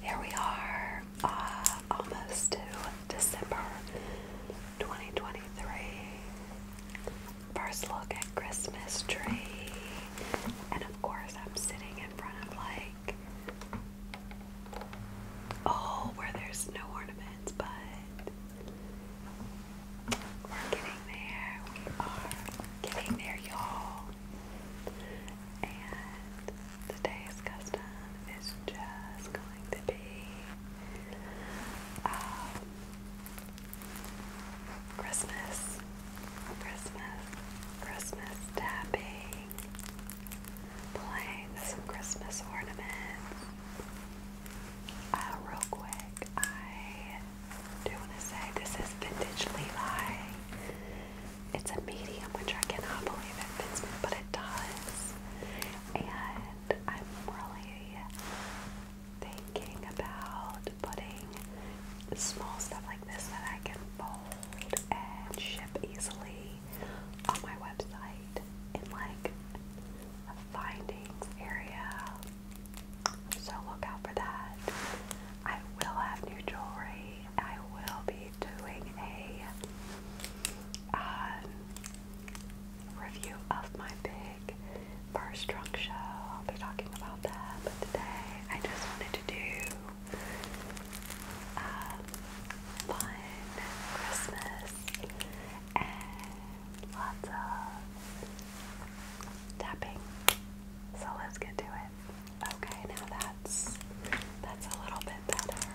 Here we are, uh, almost to December 2023. First look at Christmas tree, and of course, I'm sitting in front of like oh, where there's no ornaments, but we're getting there. We are getting there, y'all. And today's custom is just going to be um, Christmas, Christmas, Christmas tapping, playing some Christmas ornaments. Uh, real quick, do want to say this is vintage Levi. It's a medium, which I cannot believe it fits me, but it does. And I'm really thinking about putting small stuff like this that I can fold and ship easily on my website in like a findings area so look out for that. I will have new jewelry. I will be doing a um, review of my big first trunk show. I'll be talking about that. But today I just wanted to do um, fun Christmas and lots of tapping. So let's get to it. Okay, now that's that's a little bit better.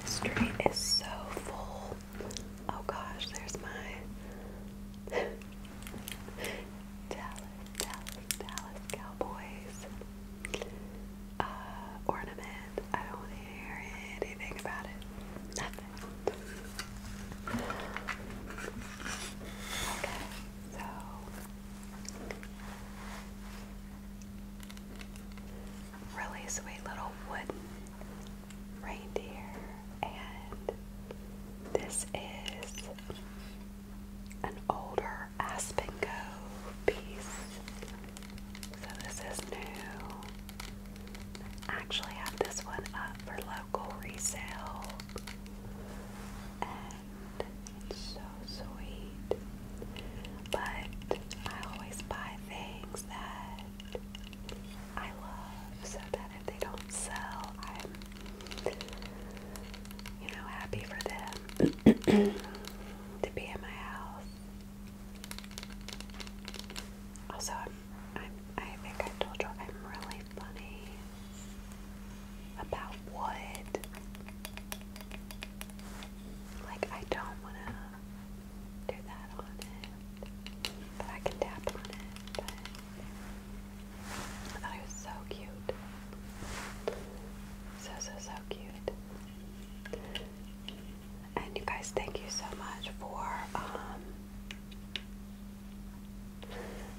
The street is so full. Oh gosh, there's my Dallas, Dallas, Dallas Cowboys uh, ornament. I don't want to hear anything about it. Nothing. Okay, so Really sweet little wooden reindeer, and this is an older Aspen Go piece. So this is new. I actually have this one up for local resale so sweet. But I always buy things that I love so that if they don't sell, I'm, you know, happy for them to be in my house. Also, I'm, I'm, I think I told you I'm really funny. About what? Like, I don't want to do that on it. But I can tap on it. But I thought it was so cute. So, so, so cute. And you guys, thank you so much for, um,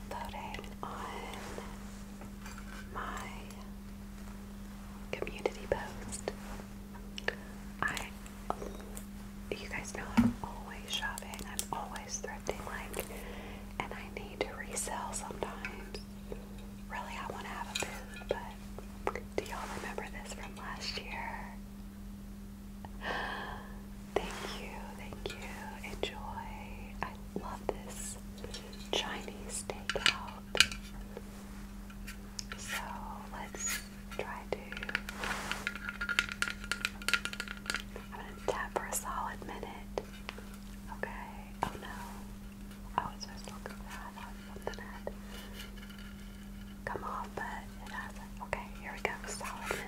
voting on my community post. I, you guys know I'm always shopping, I'm always thrifting, like, and I need to resell sometimes. Really, I want to have a booth, but do y'all remember this from last year? Thank you, thank you. Enjoy. I love this. Chinese takeout. So let's try to. I'm gonna tap for a solid minute. Okay. Oh no. Oh, it's supposed to look come off, but it has Okay, here we go. Solid minute.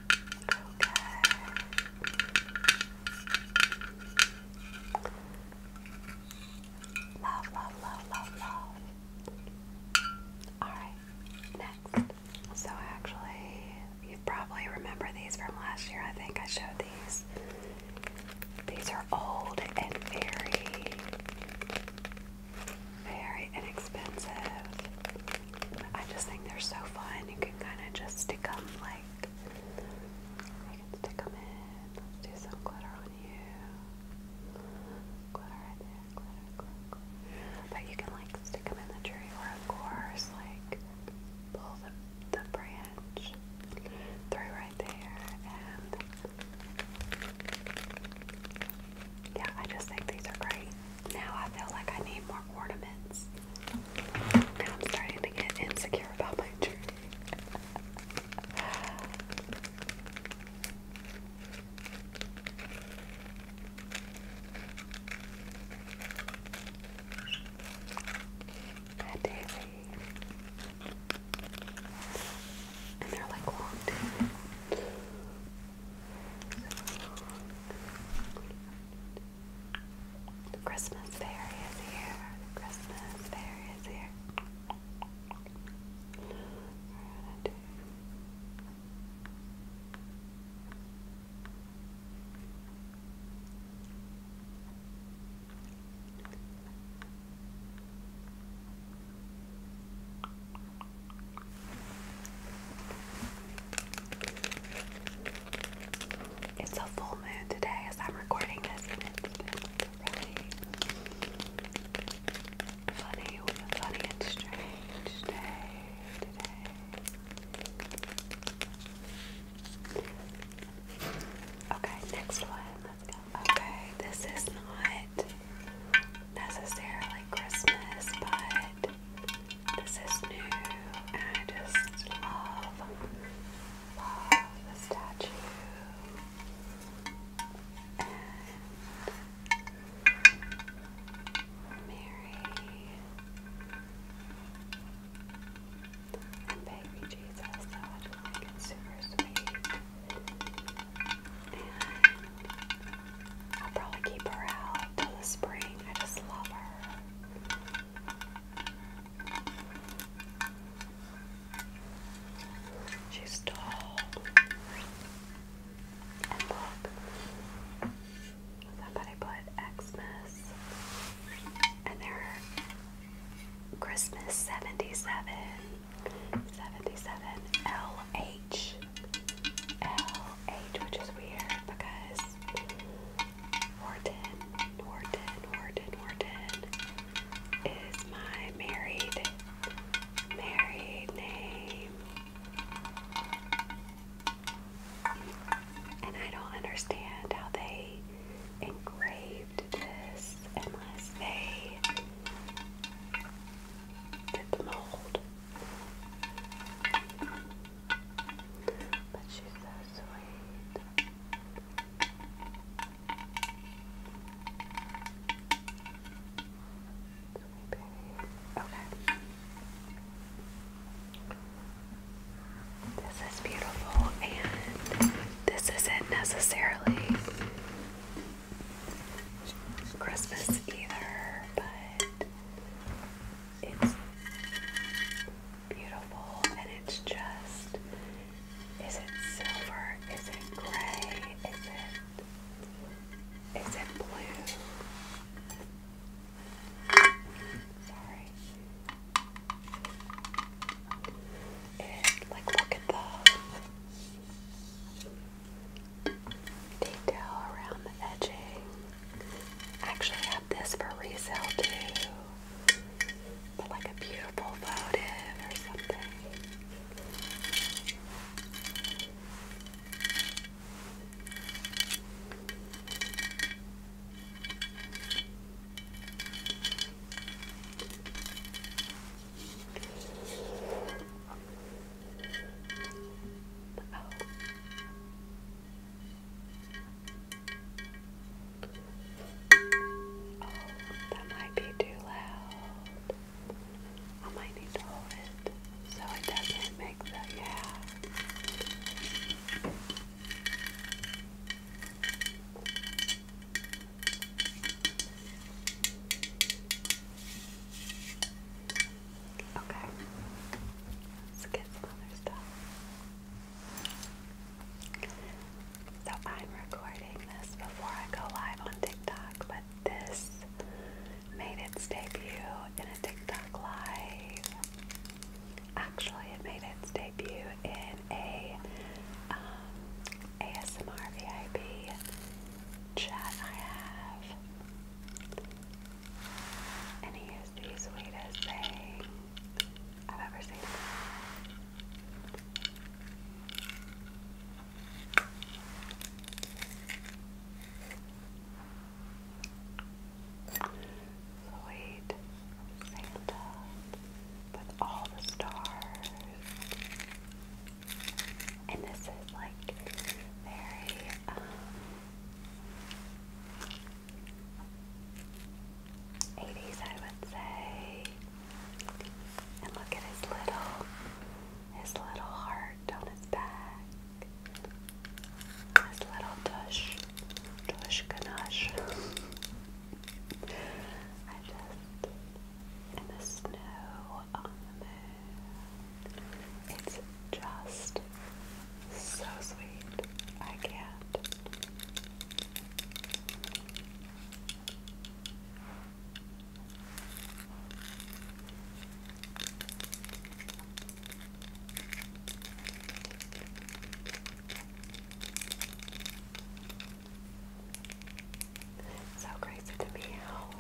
Love, love, love, love, love. Alright, next. So, actually, you probably remember these from last year. I think I showed these. These are old and very, very inexpensive. I just think they're so fun. You can kind of just stick them like you can stick them in. Let's do some glitter on you. Glitter right there, glitter, glitter, glitter. But you can like stick them in the tree, or of course, like pull the the branch through right there and yeah, I just think these are great. Now I feel like I need more ornaments. Now I'm starting to get insecure about my tree. Hi, Daisy. And they're like long too. Christmas fairy is here. Christmas fairy is here. It's a full moon today as I'm recording this, funny and strange day today. Okay, next one. Let's go. Okay, this is not necessarily Christmas, but this is new, and I just love, love the statue. And Mary and baby Jesus, so I super sweet. I'll probably keep her out till the spring. I just love her. She's tall. And look, somebody put Xmas, and they Christmas 77. 77 which is weird because Wharton, Wharton, Wharton, Wharton is my married, married name. And I don't understand how they engraved this unless they did the mold. But she's so sweet. Sweet baby. Okay. This is beautiful, and this isn't necessarily Christmas either, but it's beautiful and it's just is it silver? Is it gray? Is it is it blue? Sorry. It like look at the detail around the edging. I actually have this for resale too. But like a beautiful votive or something. Oh. Oh, that might be too loud. I might need to hold it so it doesn't make the yeah. Okay. Let's get some other stuff. So I'm recording this before I go live on TikTok, but this made its debut in a TikTok live. Actually, it made its debut in a um, ASMR VIP chat I have and he is the sweetest thing I've ever seen. Sweet Santa with all the stars. And this is like very um 80s, I would say. And look at his little, his little heart on his back. His little tush, tush ganache. I just, and the snow on the moon. It's just so sweet. I can't. So crazy to me how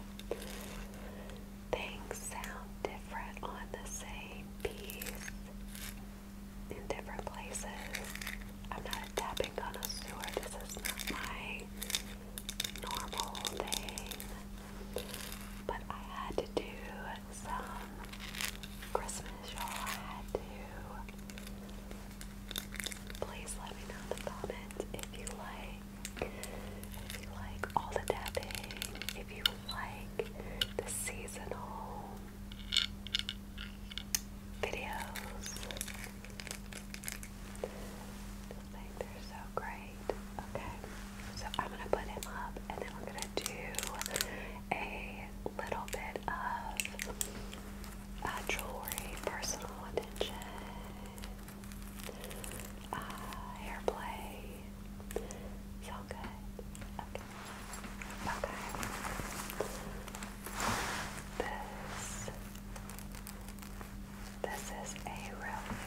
things sound different on the same piece in different places. I'm not a tapping connoisseur. This is not my normal thing. But I had to do some Christmas, y'all. I had to. Please let me know in the comments if you like. If you like all the tapping, if you like the seasonal videos. I they're so great. Okay, so I'm gonna put him up and then we're gonna do a little bit of uh, jewelry, personal attention, uh, hair play. Sound good? Okay. Okay. This this is a really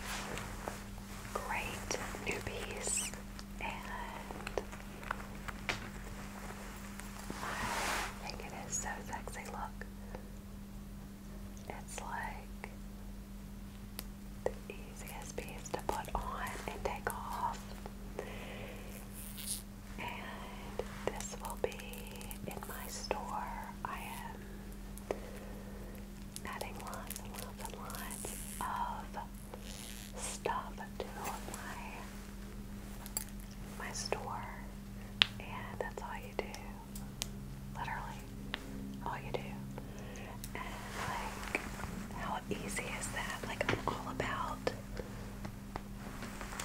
great new piece and I think it is so sexy. Look. It's like easiest piece to put on and take off. And this will be in my store. I am adding lots and lots and lots of stuff to my my store. And that's all you do. Literally all you do. And like how how easy is that? Like, I'm all about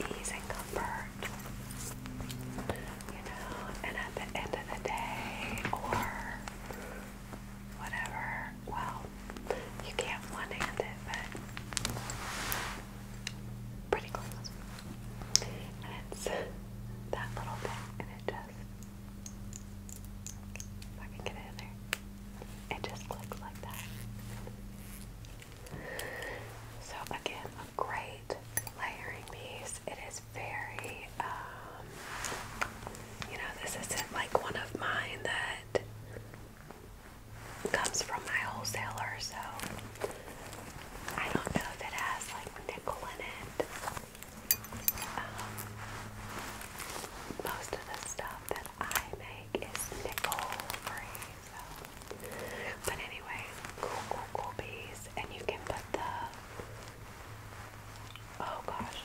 ease and comfort, you know, and at the end of the day, or whatever, well, you can't one-hand it, but pretty close. And it's that little bit, and it just, if I get in there. It just looks like that. So again, a great layering piece. It is very, um, you know, this isn't like one of mine that comes from my wholesaler, so I don't know if it has like nickel in it. Um, most of the stuff that I make it's nickel free. but anyway, cool, cool, and you can put the oh gosh,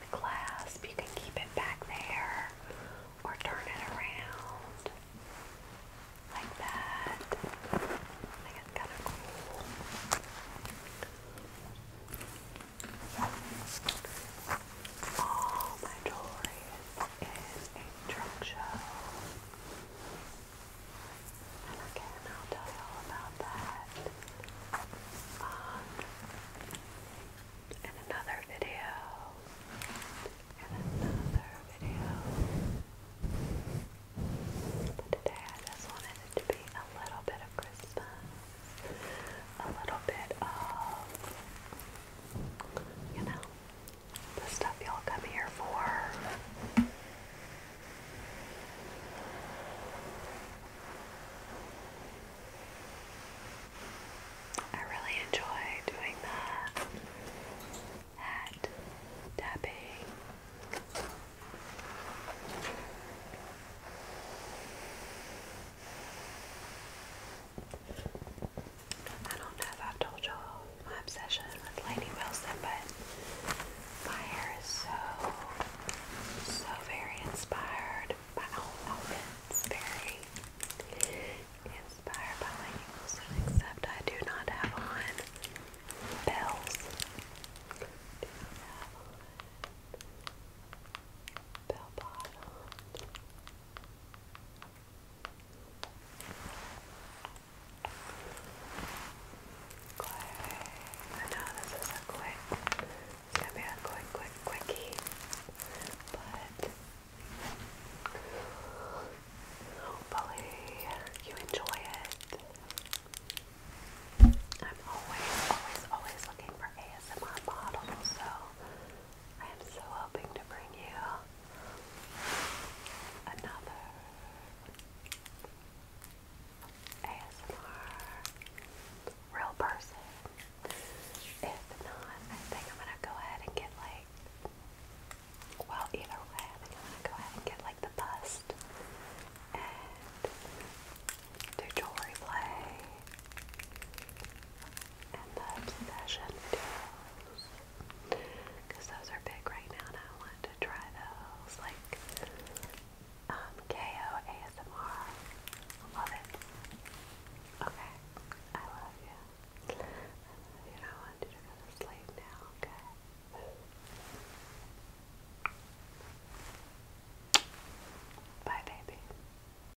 the clasp. You can keep it back there, or turn it around like that. I think it's kind of cool. All my jewelry is in a trunk show. And again, I'll tell you all about that um, in another video. In another video. But today I just wanted it to be a little bit of Christmas a little bit of, you know, the stuff y'all come here for. I really enjoy doing the hat tapping. I don't know if i told you my obsession with Lady Wilson, but my hair is so, so very inspired by all outfits. Very inspired by Lady Wilson, except I do not have on bells bell I know this is a quick, it's gonna be a quick, quick, quickie, but hopefully you enjoy it. I'm always, always, always looking for ASMR models, so I am so hoping to bring you another ASMR real person. If not, I think I'm gonna go ahead and get like well, either way, I think I'm gonna go ahead and get like the bust and do jewelry play and the obsession videos. Because those are big right now and I want to try those. Like um KO Love it. Okay. I love you. you and I want to go to sleep now, okay? Bye baby.